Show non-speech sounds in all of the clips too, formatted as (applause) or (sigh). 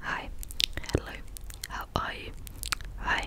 Hi, hello, how are you? Hi,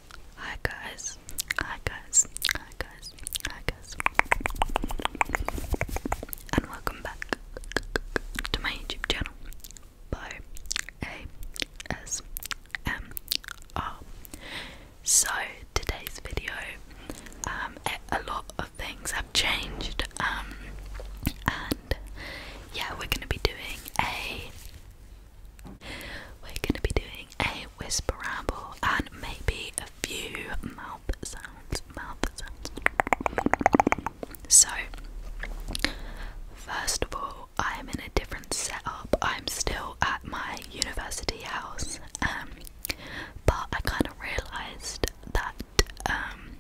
Hi guys. Hi guys. Hi guys. Hi guys. And welcome back to my YouTube channel. By So today's video, um, a lot of things have changed, um, and yeah, we're gonna be doing a we're going to be doing a whisper ramble and maybe a few mouth sounds. Mouth sounds. So, first of all, I am in a different setup. I'm still at my university house, um, but I kind of realised that um,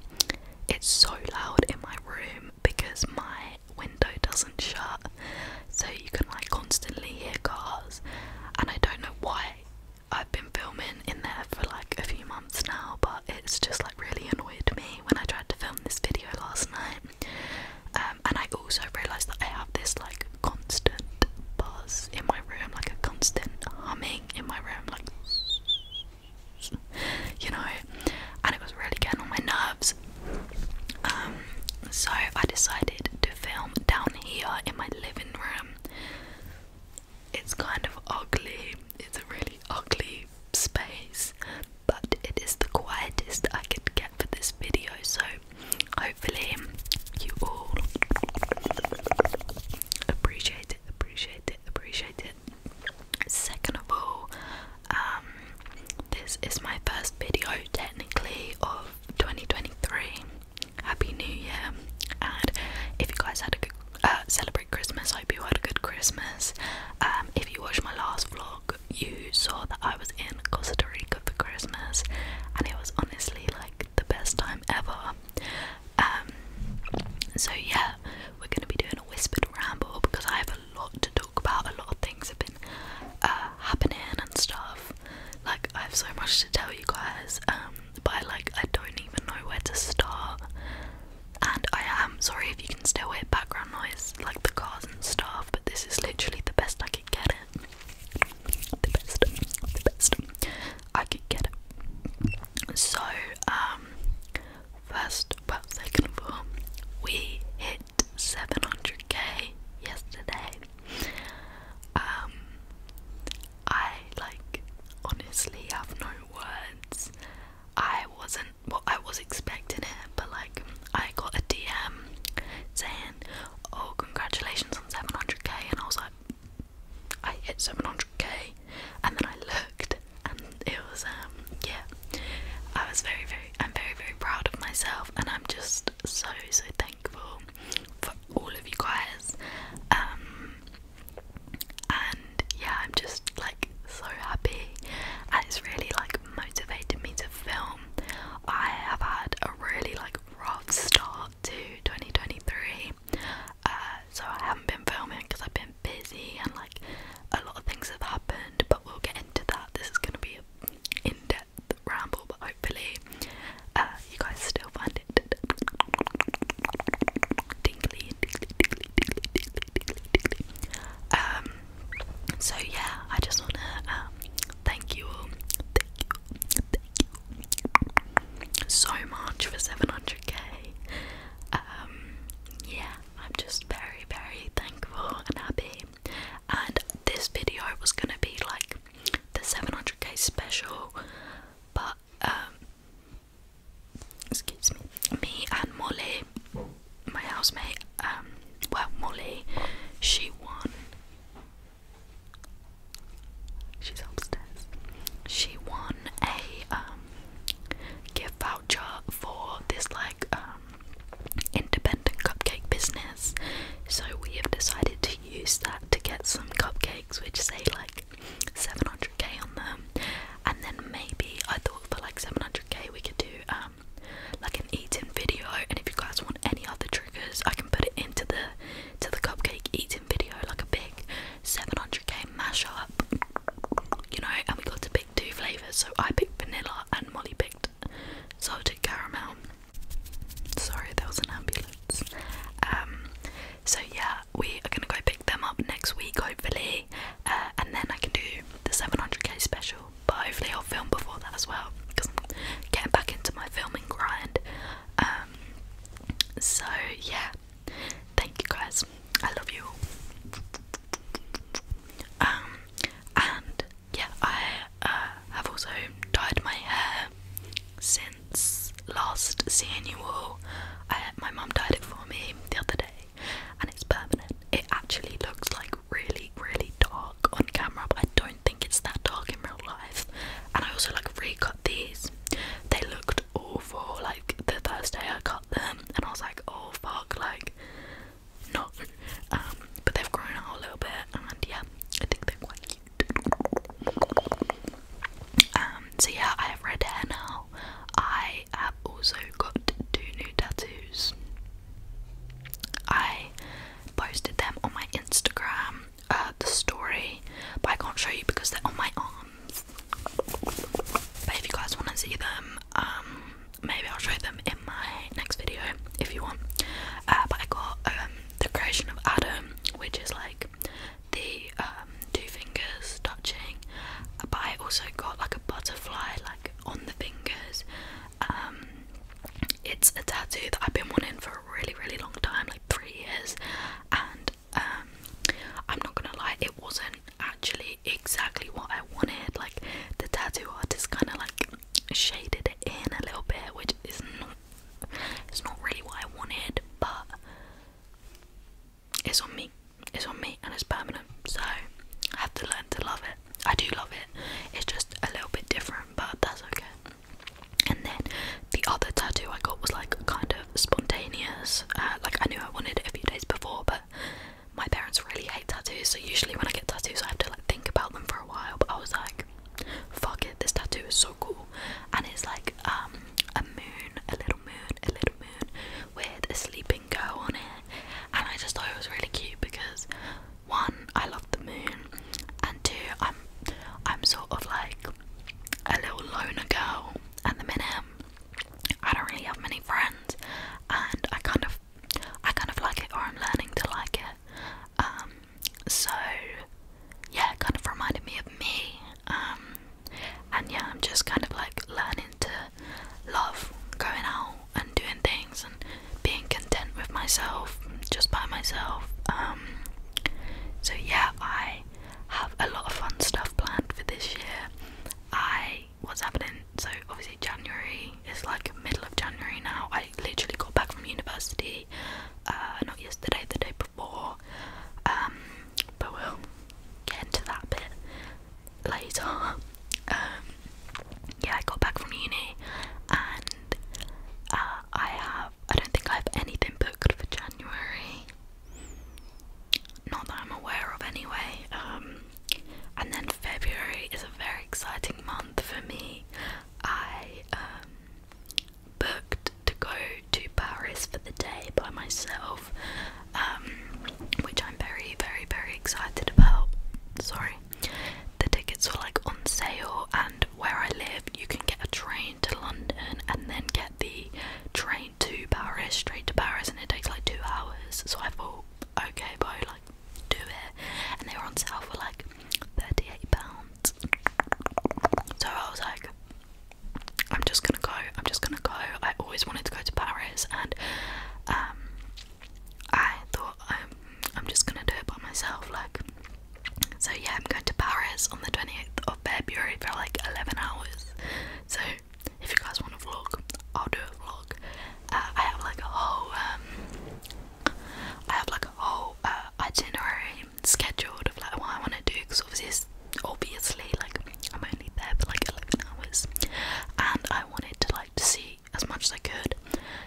it's so loud in my room because my window doesn't shut, so you can like constantly hear cars. And I don't know why I've been filming in there for like a few months now, but it's just like really annoyed me when I tried to film this video last night. Um, and I also realised that I have this like constant buzz in my room, like a constant humming in my room, like (laughs) you know, and it was really getting on my nerves. Um, so I decided to film down here in my living room. It's kind of ugly, it's a really ugly space, but it is the quietest I could get for this video, so hopefully you all appreciate it, appreciate it, appreciate it. Second of all, um, this is my first video technically of 2023. Happy New Year! And if you guys had a good uh, celebrate Christmas, I hope you had a good Christmas. Um, if you watched my last vlog, you saw that I was in Costa Rica for Christmas, and it was honestly like the best time ever. Um, so yeah, we're gonna be doing a whispered ramble because I have a lot to talk about. A lot of things have been uh, happening and stuff. Like I have so much to tell you guys, um, but like I don't even know where to start. And I am sorry if you can still hear background noise, like the cars and stuff, but this is literally the best I could get it. The best, the best I could get it. So, um, first, well, second of all, we 700k yesterday. Um, I like honestly have no words. I wasn't well, I was expecting it, but like I got a DM saying, "Oh, congratulations on 700k," and I was like, "I hit 700k," and then I looked, and it was um yeah, I was very very I'm very very proud of myself and I'm just so so thankful for all of you guys. Um, and yeah, I'm just like so happy and it's really like motivated me to film. I have had a really like rough start to 2023. Uh, so I haven't been filming because I've been busy and like a lot of things have happened, but we'll get into that. This is gonna be a in depth ramble, but hopefully uh, you guys still find it Um, so yeah, I just wanna um, thank you all, thank you, thank you so much for 700k. Um, yeah, I'm just very, very thankful and happy and this video was gonna be like the 700k special, but um, excuse me, me and Molly, my housemate, um, well, Molly, she won. She's upstairs. She won a um gift voucher for this like um, independent cupcake business. So we have decided to use that to get some cupcakes which say like 700k on them. And then maybe I thought for like 700k we could do um like an eating video and if you guys want any other triggers I can put it into the to the cupcake eating video like a big 700k mashup you know and we got to pick two flavours so I picked vanilla and Molly picked and salted caramel. Sorry, that was an ambulance. Um, so yeah, we are gonna go pick them up next week, hopefully, uh, and then I can do the 700k special. But hopefully, I'll film before that as well because I'm getting back into my filming grind. Um, so yeah, thank you guys. I love you Um, and yeah, I uh, have also dyed my hair since last seeing I, my mum dyed it for me the other day, and it's permanent. It actually looks like really, really dark on camera, but I don't think it's that dark in real life. And I also like recut these. They looked awful. Like the first day I cut them, and I was like, oh fuck, like not um, but they've grown out a little bit, and yeah, I think they're quite cute. Um, so yeah, I have red hair now. I have also got two new tattoos. I posted them on my Instagram, uh, the story, but I can't show you because they're on my arms. But if you guys want to see them, um, maybe I'll show them in my next video if you want. Uh, but I got um, the creation of Adam, which is like the um, two fingers touching, but I also got like a butterfly like on the fingers. Um, it's a tattoo that I've been wanting for a really, really long time, like three years, and um, I'm not gonna lie, it wasn't actually exactly what I wanted. Like the tattoo artist kind of like shaded it in a little bit, which is not it's not really what I wanted, but it's on me. It's on me and it's permanent. So I have to learn to love it. I do love it. It's just a little bit different, but that's okay. And then the other tattoo I got was like kind of spontaneous. Uh, like I knew I wanted it a few days before, but my parents really hate tattoos. So usually when I get tattoos, I have to like think about them for a while. But I was like, fuck it, this tattoo is so cool. And it's like um, a moon, a little moon, a little moon with a sleeping girl on it. And I just thought it was really cute because one, I love the moon, and two, I'm I'm sort of like a little loner girl at the minute. I don't really have many friends and I kind of I kind of like it or I'm learning to like it. Um, so yeah it kind of reminded me of me um, and yeah i'm just kind of like learning to love going out and doing things and being content with myself just by myself um, so yeah i have a lot of fun stuff planned for this year i what's happening so obviously january is like middle of january now I literally got back from university, uh, not yesterday, the day before. Um, but we'll get into that bit later. Um, yeah, I got back from uni, and uh, I have. I don't think I have anything booked for January. Not that I'm aware of, anyway. Um, and then February is a very exciting month for me. I booked to go to Paris for the day by myself, um, which I'm very, very, very excited about. Sorry, the tickets were like on sale, and where I live, you can get a train to London and then get the train to Paris, straight to Paris, and it takes like two hours. So I thought, okay, bro, like do it. And they were on sale for like thirty-eight pounds. So I was like, I'm just gonna go. I'm just gonna go. I always wanted to go to Paris, and um, I thought I'm um, I'm just gonna do it by myself. Like, so yeah, I'm going to Paris on the 28th of February for like eleven hours. So if you guys want to vlog, I'll do a vlog. Uh, I have like a whole um, I have like a whole uh, itinerary scheduled of like what I want to do because obviously, it's obviously, like I'm only there for like 11 hours, and I wanted to like to see as much as I could.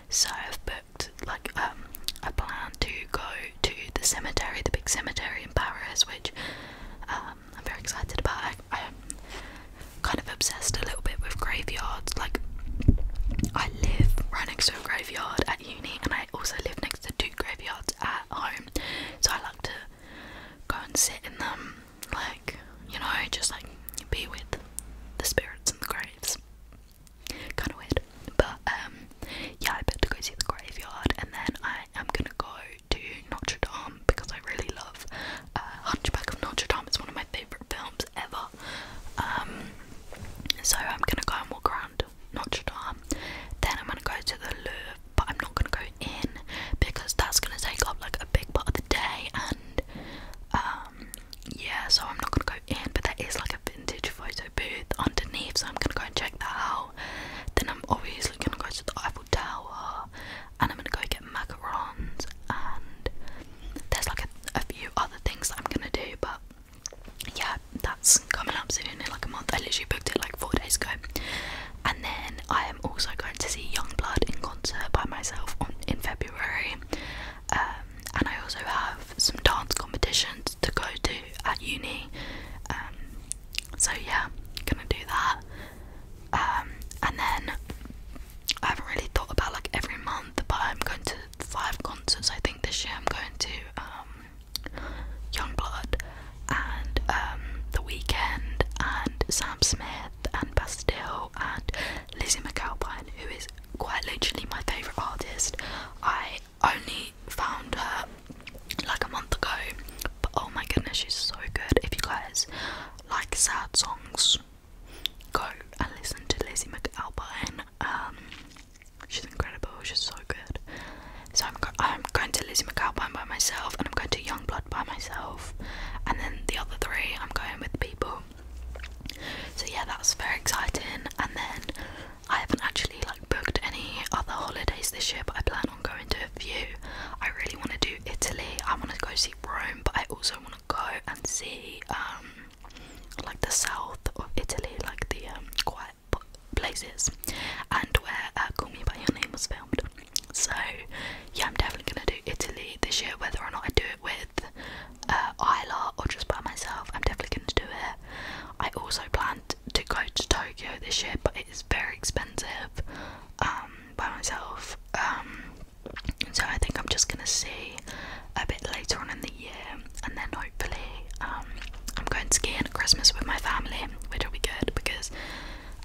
So I've booked like um I plan to go to the cemetery, the big cemetery in Paris, which um, I'm very excited about. I, am kind of obsessed a little bit with graveyards. Like I live right next to a graveyard, uni, and I also live next to two graveyards at home, so I like to go and sit in them, like you know, just like be with the spirits and the graves. Kind of weird, but um, yeah, I bet to go see the graveyard, and then I am gonna go to Notre Dame because I really love uh, Hunchback of Notre Dame. It's one of my favorite films ever. Um, so I'm gonna go and walk around Notre Dame. Then I'm gonna go to the Louvre, but I'm not gonna go in because that's gonna take up like a big part of the day. And um, yeah, so I'm not gonna go in. But that is like a vintage photo booth underneath, so I'm gonna go and check that out. Then I'm obviously gonna go to the Eiffel Tower, and I'm gonna go get macarons. And there's like a, a few other things that I'm gonna do, but yeah, that's coming up soon in like a month. I literally booked it like four days ago. And then I am also going to see Youngblood in concert by myself in February. Um, and I also have some dance competitions to go to at uni. Um, so yeah, gonna do that. Um, and then I haven't really thought about like every month, but I'm going to five concerts. I think this year I'm going to Youngblood and um, The Weekend and Sam Smith and Bastille and Lizzie McAlpine, who is quite literally my favourite artist. I only found her like a month ago, but oh my goodness, she's so good. If you guys like sad songs, go and listen to Lizzie McAlpine. Um, She's incredible. She's so good. So I'm I'm going to Lizzie McGuire by myself, and I'm going to Young Blood by myself, and then the other three I'm going with people. So yeah, that's very exciting. And then I haven't actually like booked any other holidays this year, but I plan on going to a few. I really want to do Italy. I want to go see Rome, but I also want to go and see um like the south of Italy, like the um, quite places and where uh, Call Me By Your Name was filmed. So, yeah, I'm definitely gonna do Italy this year, whether or not I do it with uh, or just by myself. I'm definitely gonna do it. I also planned to go to Tokyo this year, but it is very expensive um, by myself. Um, so, I think I'm just gonna see a bit later on in the year, and then hopefully um, I'm going skiing at Christmas with my family, which will be good because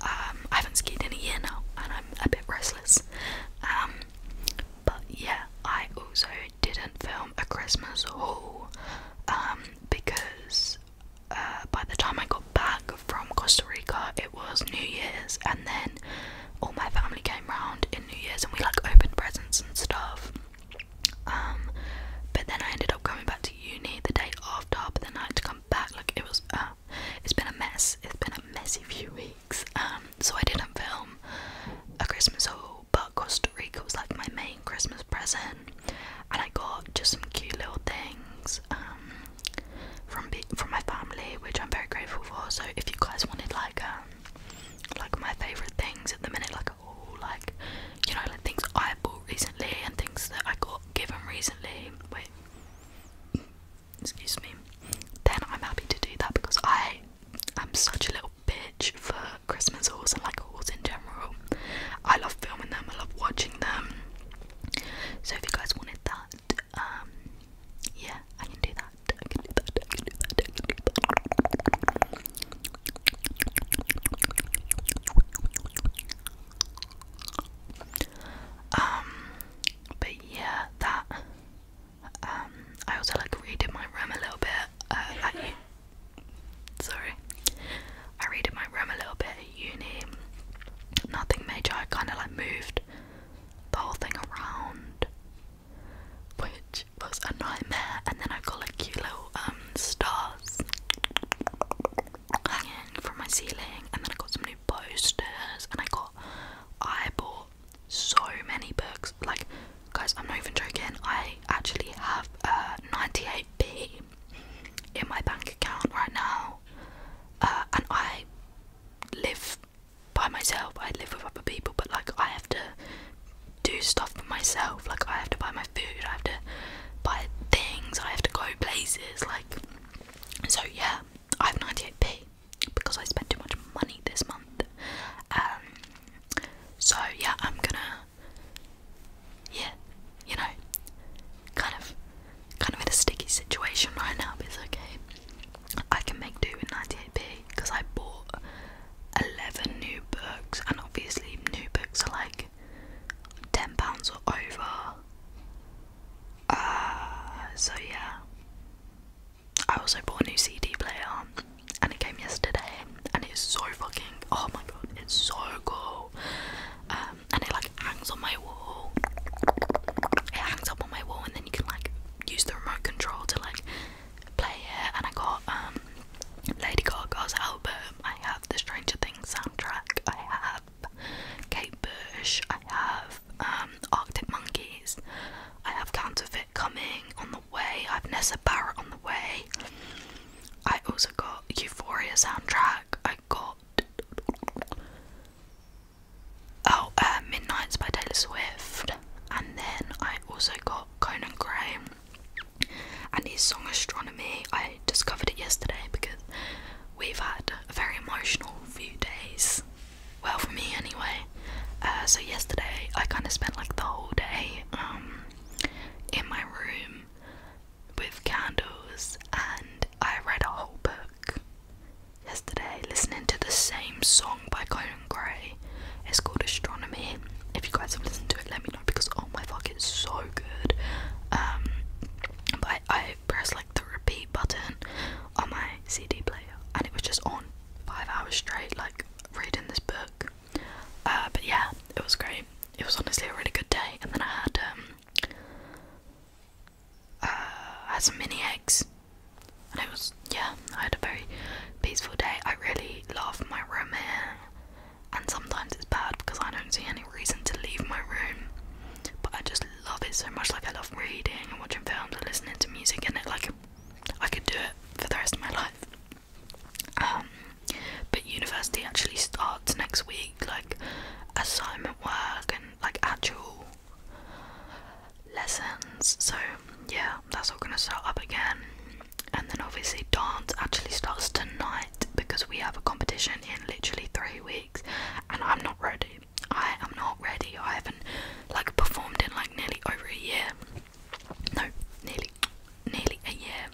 um, I haven't skied in a year now, and I'm a bit restless. Um, but yeah, I also didn't film a Christmas haul because uh, by the time I got back from Costa Rica, it was New Year's, and then all my family came round in New Year's, and we like opened presents and stuff. Um, but then I ended up coming back to uni the day after, but then I had to come back. Like it was, uh, it's been a mess. It's been a messy few weeks. Um, so I didn't film a Christmas haul, but Costa Rica was like my main Christmas present, and I got just some cute little things. Um, from from my family, which I'm very grateful for. So if you guys wanted like like my favorite things at the minute, like Oh, like you know like things I bought recently and things that I got given recently. Wait, excuse me. Then I'm happy to do that because I am such a little bitch for Christmas hauls and like hauls in general. I love filming them. I love watching them. So if you guys wanted that, um, yeah, I can do that. I can do that. I can do that. Um, but yeah, that. Um, I also like redid my room a little bit. Uh, sorry, I redid my room a little bit at uni. Nothing major. I kind of like moved the whole thing around, which which was a nightmare. And then I got like cute little um stars hanging from my ceiling. And then I got some new posters. And I got I bought so many books. Like guys, I'm not even joking. I actually have uh 98p in my bank account right now. Uh, and I live by myself. I live with other people, but like I have to do stuff for myself. Like I have to buy my food, I have to buy things, I have to go places. Like so, yeah. I have 98p because I spent too much money this month. Um, so yeah, I'm gonna, yeah, you know, kind of, kind of in a sticky situation right now. But it's okay. I can make do with 98p because I bought 11 new books, and obviously, new books are like £10 or over. Uh, so, yeah. I also bought a new CD player and it came yesterday and it's so fucking oh my god, it's so cool. Um and it like hangs on my wall. It hangs up on my wall and then you can like use the remote control to like play it and I got um Lady Gaga's album, I have the Stranger Things soundtrack, I have Kate Bush, I have um, Arctic Monkeys, I have Counterfeit coming on the way, I have Nessa Barrett on the way. I also got Euphoria soundtrack, I got Oh, uh, Midnights by Taylor Swift, and then I also got Conan Gray, and his song Astronomy. I discovered it yesterday because we've had a very emotional few days. Well, for me anyway. Uh, so yesterday I kind of spent like the whole day um, in my room with candles, and I read a whole book yesterday, listening to the same song by Conan Gray. It's called Astronomy. If you guys have listened to it, let me know because oh my fucking. It's so good. Um, but I, pressed like the repeat button on my CD player, and it was just on five hours straight, like reading this book. Uh, but yeah, it was great. It was honestly a really good day, and then I had um, uh, I had some mini eggs, and it was yeah, I had a very peaceful day. I really loved my room here and sometimes it's bad because I don't see any reason to leave my room. But I just love it so much. Like I love reading and watching films and listening to music, and it like I could do it for the rest of my life. Um, but university actually starts next week, like assignment work and like actual lessons. So yeah, that's all gonna start up again and then obviously dance actually starts tonight because we have a competition in literally three weeks and I'm not ready. I am not ready. I haven't like performed in like nearly over a year. No, nearly nearly a year.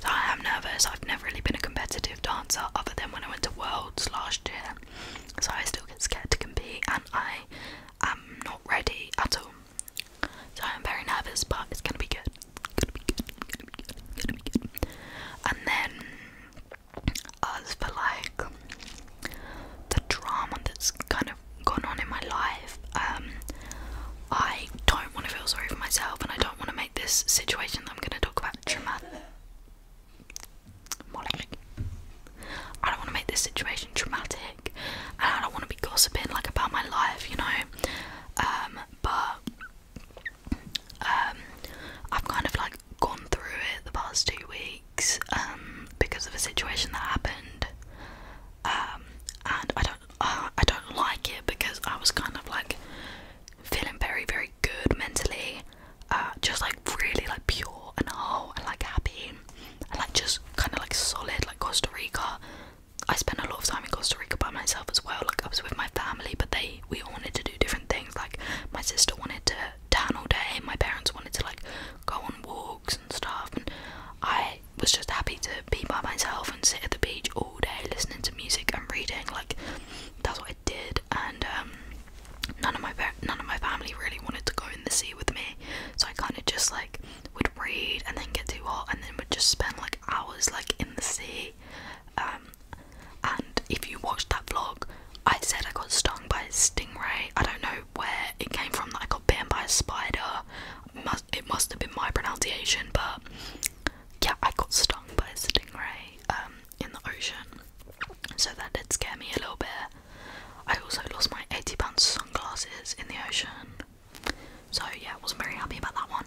So I am nervous. I've never really been a competitive dancer other than when I went to Worlds last year. So I still get scared to compete and I am not ready at all. So I'm very nervous, but it's gonna be good. And then as for like the drama that's kind of gone on in my life, um, I don't want to feel sorry for myself, and I don't want to make this situation that I'm gonna talk about traumatic. I don't want to make this situation traumatic, and I don't want to be gossiping like about my life, you know. Um, but um, I've kind of like gone through it the past two weeks um, because of a situation that happened, um, and I don't uh, I don't like it because I was kind of like feeling very very good mentally, uh, just like really like pure and whole and like happy and like just kind of like solid like Costa Rica I spent a lot of time in Costa Rica by myself as well. Like I was with my family, but they we all wanted to do different things. Like my sister wanted to tan all day, my parents wanted to like go on walks and stuff, and I was just happy to be by myself and sit at the beach all day, listening to music and reading. Like that's what I did, and um, none of my none of my family really wanted to go in the sea with me, so I kind of just like would read and then get too hot and then would just spend like hours like in the sea um, and if you watched that vlog, I said I got stung by a stingray. I don't know where it came from that I got bitten by a spider. it must have been my pronunciation, but yeah, I got stung by a stingray um, in the ocean. So that did scare me a little bit. I also lost my £80 sunglasses in the ocean. So yeah, I wasn't very happy about that one.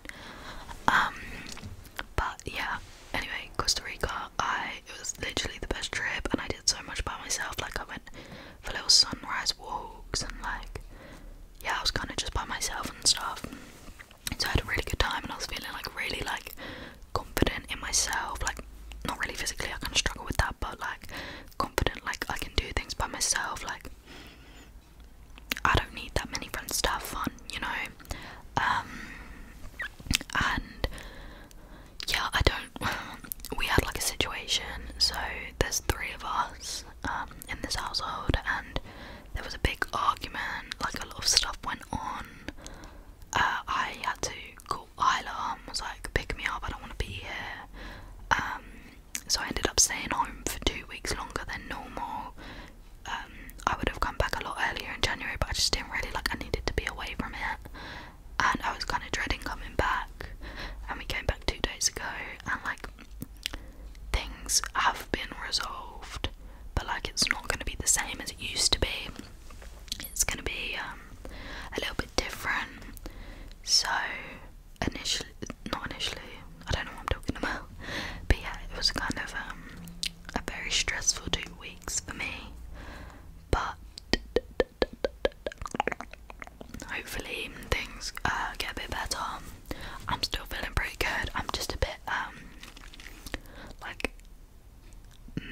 Um, but yeah. Anyway, Costa Rica. I it was literally the best trip, and I did so much by myself. Like I went for little sunrise walks, and like yeah, I was kind of just by myself and stuff. And so I had a really good time, and I was feeling like really like confident in myself. Like not really physically, I kind of struggle with that, but like confident, like I can do things by myself. Like I don't need that many friends to have fun, you know. Um, and yeah, I don't. (laughs) We had like a situation, so there's three of us um, in this household, and there was a big argument. Like a lot of stuff went on. Uh, I had to call Isla and was like, "Pick me up! I don't want to be here." Um, so I ended up staying home for two weeks longer than normal um, I would have come back a lot earlier in January, but I just didn't really like. I needed to be away from it, and I was kind of dreading coming back. And we came back two days ago, and like things have been resolved, but like it's not going to be the same as it used to be. It's going to be um, a little bit different. So initially, not initially. I don't know what I'm talking about. But yeah, it was kind of um, a very stressful two weeks for me. But hopefully things uh, get a bit better. I'm still feeling pretty good. I'm just a bit um like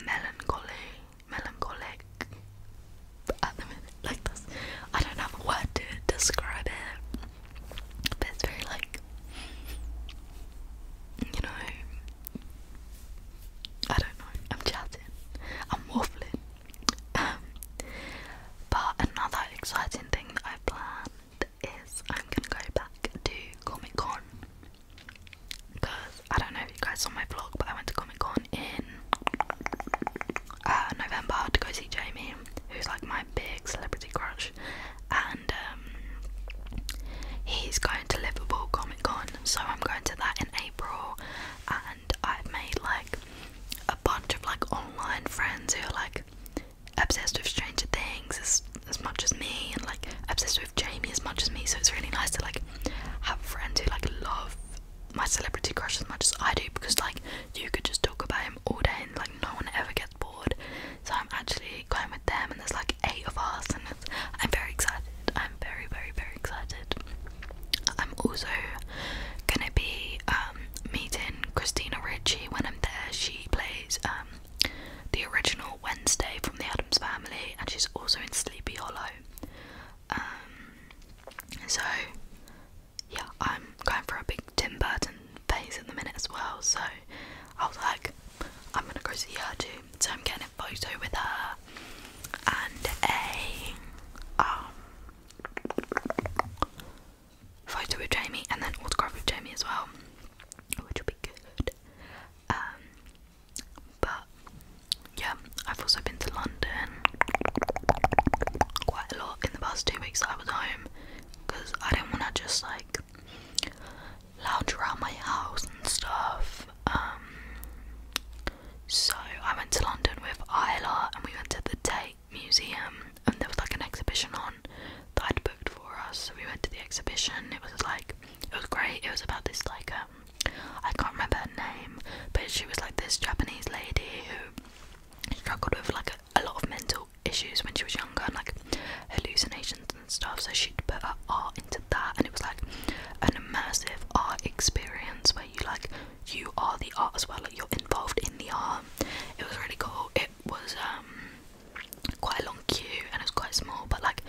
melancholy, melancholic Like this, I don't have a word to describe it. That's very like you know I don't know, I'm chatting, I'm waffling. Um, but another exciting thing that I've planned is I'm gonna go back to Comic Con because I don't know if you guys saw my vlog, but I went to Comic Con in uh, November to go see Jamie, who's like my big celebrity crush, and um, he's going to Liverpool Comic Con, so I'm going to that in April. And I've made like a bunch of like online friends who are like obsessed with Stranger Things as, as much as me, and like obsessed with Jamie as much as me. So it's really nice to like have friends who like love my celebrity crush as much as I do because like you could just talk about him all day and like no one ever gets bored. So I'm actually going with them, and there's like eight of us, and I'm very excited. I'm very, very, very excited. I'm also gonna be um, meeting Christina Ritchie when I'm there. She plays um, the original Wednesday from the Adams Family, and she's also in Sleepy Hollow. Um, so yeah, I'm going for a big Tim Burton phase at the minute as well, so I was like, I'm gonna go see her too. So I'm getting a photo with her and a um photo with Jamie and then autograph with Jamie as well, which will be good. Um, but yeah, I've also been to London quite a lot in the past two weeks that I was home because I didn't want to just like lounge around my house and stuff. Um, so I went to London with Isla and we went to the Tate Museum and there was like an exhibition on that I'd booked for us. So we went to the exhibition. It was like it was great. It was about this like um I can't remember her name, but she was like this Japanese lady who struggled with like a a lot of mental issues when she was younger and like hallucinations and stuff so she'd put her art into that and it was like an immersive art experience where you like you are the art as well like you're involved in the art it was really cool it was um quite a long queue and it was quite small but like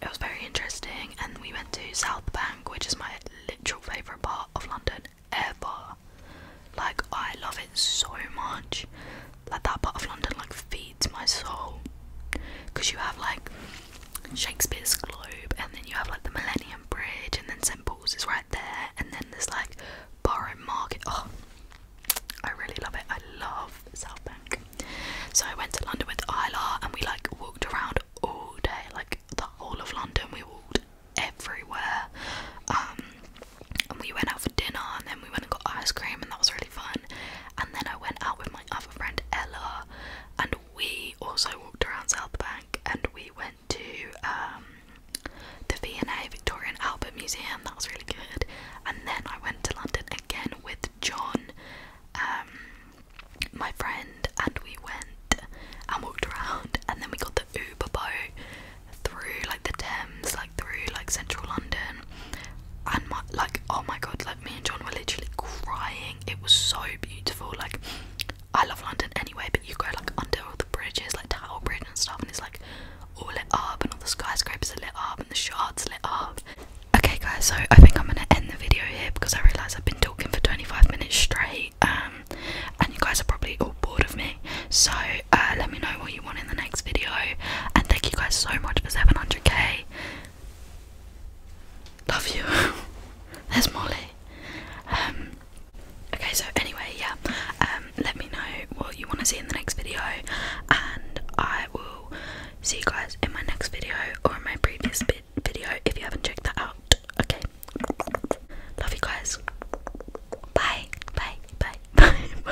it was very interesting and we went to south bank which is my literal favorite part of london ever like i love it so much like that part of London like feeds my soul because you have like Shakespeare's Globe and then you have like the Millennium Bridge and then St Paul's is right there and then there's like Borough Market. Oh, I really love it. I love South Bank. So I went to London with Isla and we like walked around all day, like the whole of London. We walked everywhere. Um, and we went out for dinner and then we went and got ice cream and that was really fun and then I went out with my other friend Ella and we also walked around South Bank and we went to um, the V&A Victorian Albert Museum that was really good and then I went to London again with John um, my friend and we went and walked around and then we got the Uber boat through like the Thames, like through like central London, and my, like oh my god, like me and John were literally crying. It was so beautiful. Like I love London anyway, but you go like under all the bridges, like Tower Bridge and stuff, and it's like all lit up, and all the skyscrapers are lit up, and the shards lit up. Okay, guys, so I think I'm gonna end the video here because I realise I've been talking for 25 minutes straight, um, and you guys are probably all bored of me. So uh, let me know what you want in the next video. And thank you guys so much for 700k. Love you. (laughs) There's Molly. Um, okay, so anyway, yeah. Um, let me know what you want to see in the next video, and I will see you guys in my next video or in my previous video if you haven't checked that out. Okay. Love you guys. Bye. Bye. Bye. (laughs) Bye.